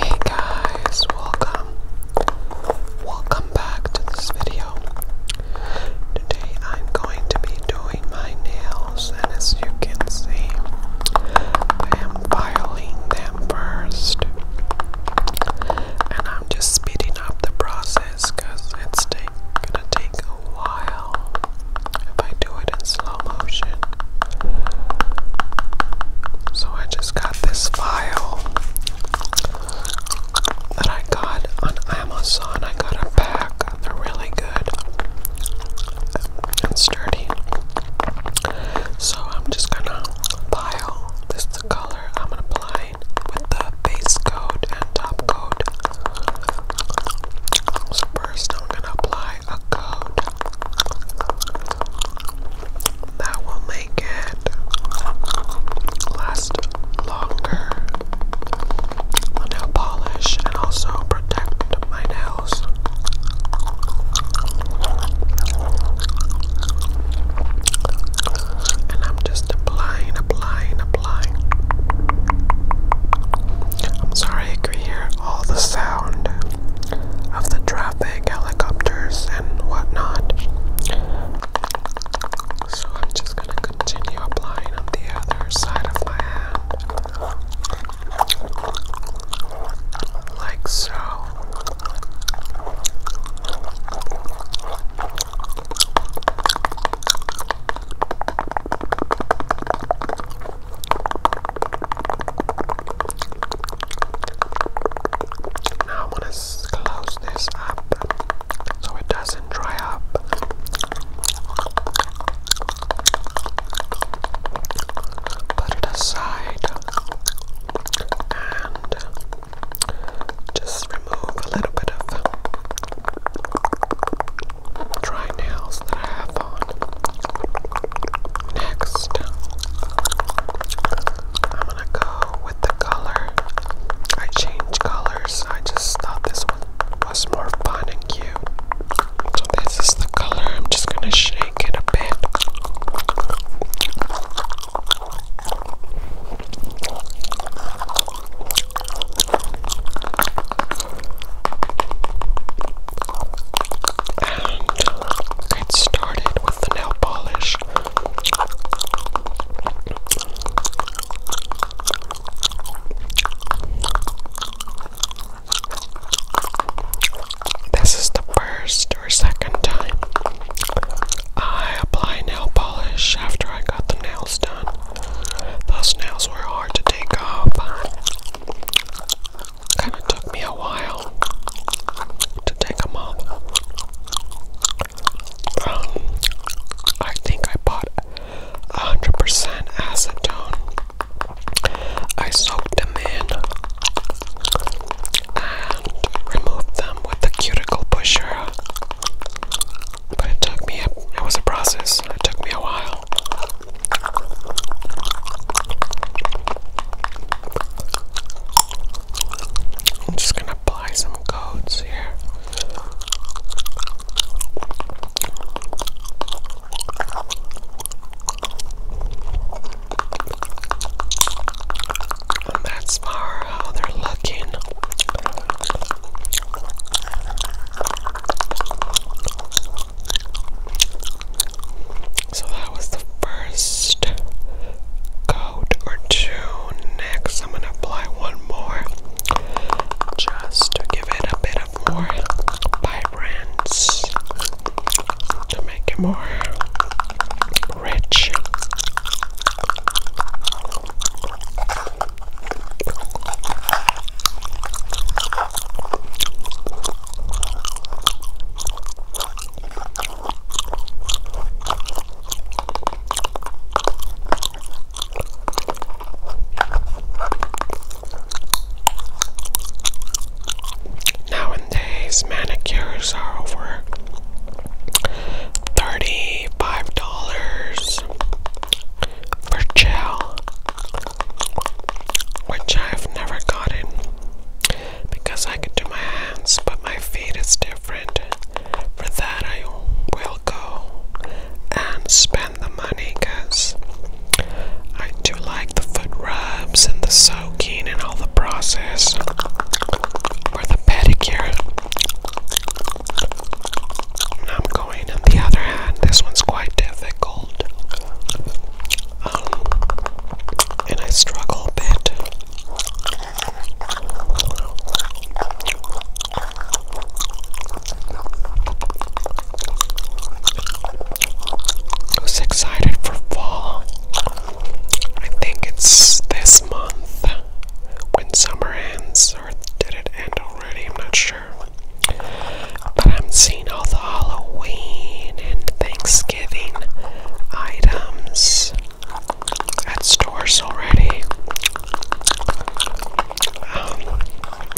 Hey guys, welcome. Welcome back to this video. Today I'm going to be doing my nails, and as you can see, I am filing them first. And I'm just speeding up the process because it's gonna take a while if I do it slow so I just got this file that I got on Amazon. I got a pack. They're really good and sturdy. So I'm just gonna file this color I'm gonna apply with the base coat and top coat. So first I'm gonna apply a code that will make it last longer nail polish and also protect my nails. And I'm just applying, applying, applying. I'm sorry I could hear all the sound of the traffic, helicopters, and whatnot. So I'm just gonna continue applying on the other side of my hand, like so. Now I'm gonna close this up so it doesn't dry up. Put it aside and just remove a little bit of dry nails that I have Next, I'm gonna go with the color. I change colors, I just thought this one was more fun and cute. So, this is the color. I'm just gonna shake it a bit and get started with the nail polish. This is the first or second time I apply nail polish after I got the nails done. Those nails were hard to take off. Kind of took me a while to take them up. Um, I think I bought 100% acetone. I soaked them in and removed them with the cuticle pusher. But it took me, it was a process. It took me a while. I'm just gonna apply some codes here. that's for how they're looking. So that was the first coat or two. Next, I'm gonna apply one more just to give it a bit of more vibrance to make it more rich. Nowadays, manicures are over $35 for gel which I've never gotten because I could do my hands, but my feet is different. For that, I will go and spend the money because I do like the foot rubs and the soaking and all the process or the pedicure. I'm on the other hand, this one's quite difficult. Um, and I struggle a bit. Who's excited for fall? I think it's this month when summer ends, or did it end already? I'm not sure. But I'm seeing all the Halloween and Thanksgiving items at stores already. Um,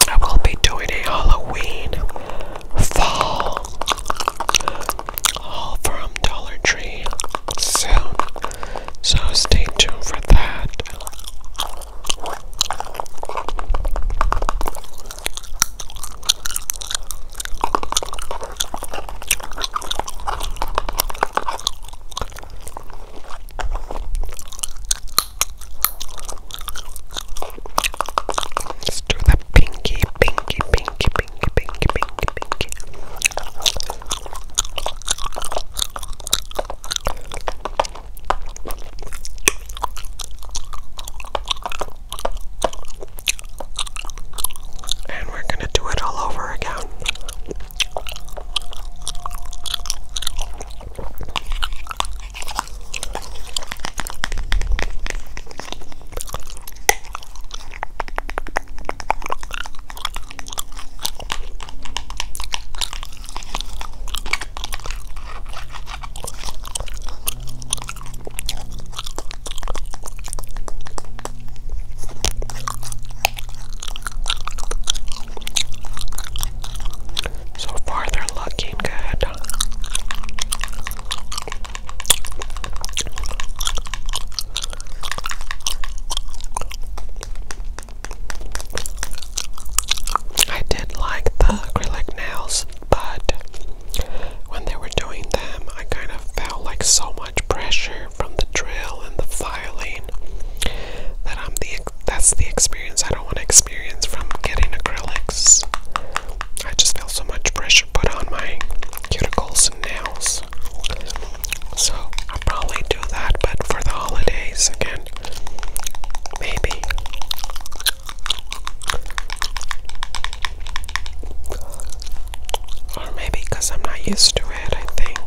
I will be doing a Halloween fall all from Dollar Tree soon, so stay tuned for that. Let's do the pinky, pinky, pinky, pinky, pinky, pinky, pinky. And we're going to do it all over again. So far, they're looking good. I did like the acrylic nails, but when they were doing them, I kind of felt like so much pressure from the drill and the filing that I'm the that's the experience I don't want to experience from getting acrylics. I just feel so much pressure put on my cuticles and nails. So I'll probably do that, but for the holidays again maybe or maybe because I'm not used to it, I think.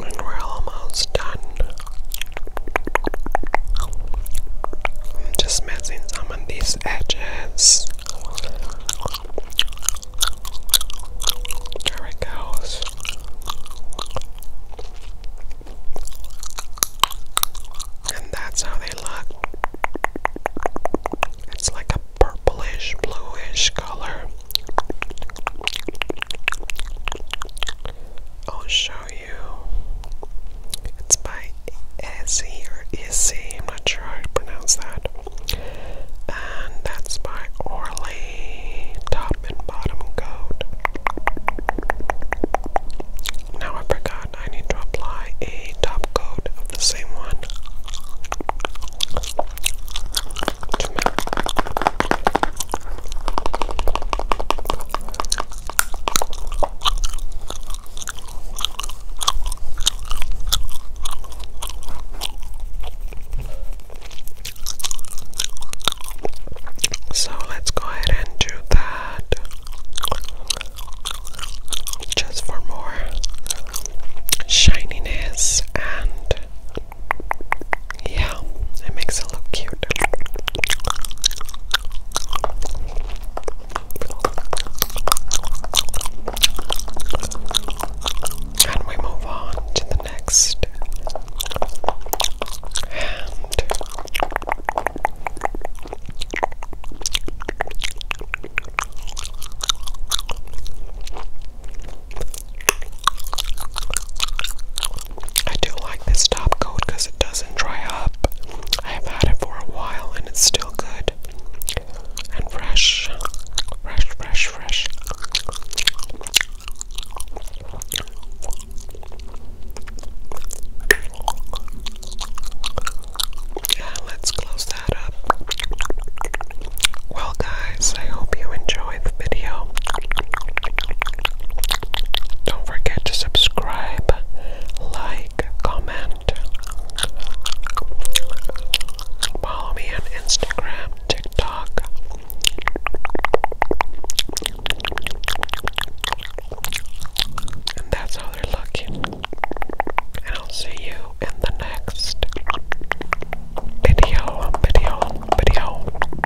And we're almost done. I'm just messing some of these edges. There it goes. And that's how they look. It's like a purplish, bluish color. I'll show it's by Ezzy or Izzy, am not sure how to pronounce that. And that's by Orly Top and Bottom Coat. Now I forgot I need to apply a top coat of the same one so let's go ahead and do that just for more shininess and yeah, it makes it look cute. And we move on to the next hand. I do like this top coat because it doesn't dry up. I have had it for a while and it's still good and fresh. Fresh, fresh, fresh. Yeah, let's close that up. Well, guys, I hope you enjoyed the video. Don't forget to subscribe, like, comment. Follow me on Instagram, TikTok. And that's how they're looking. And I'll see you in the next video, video, video.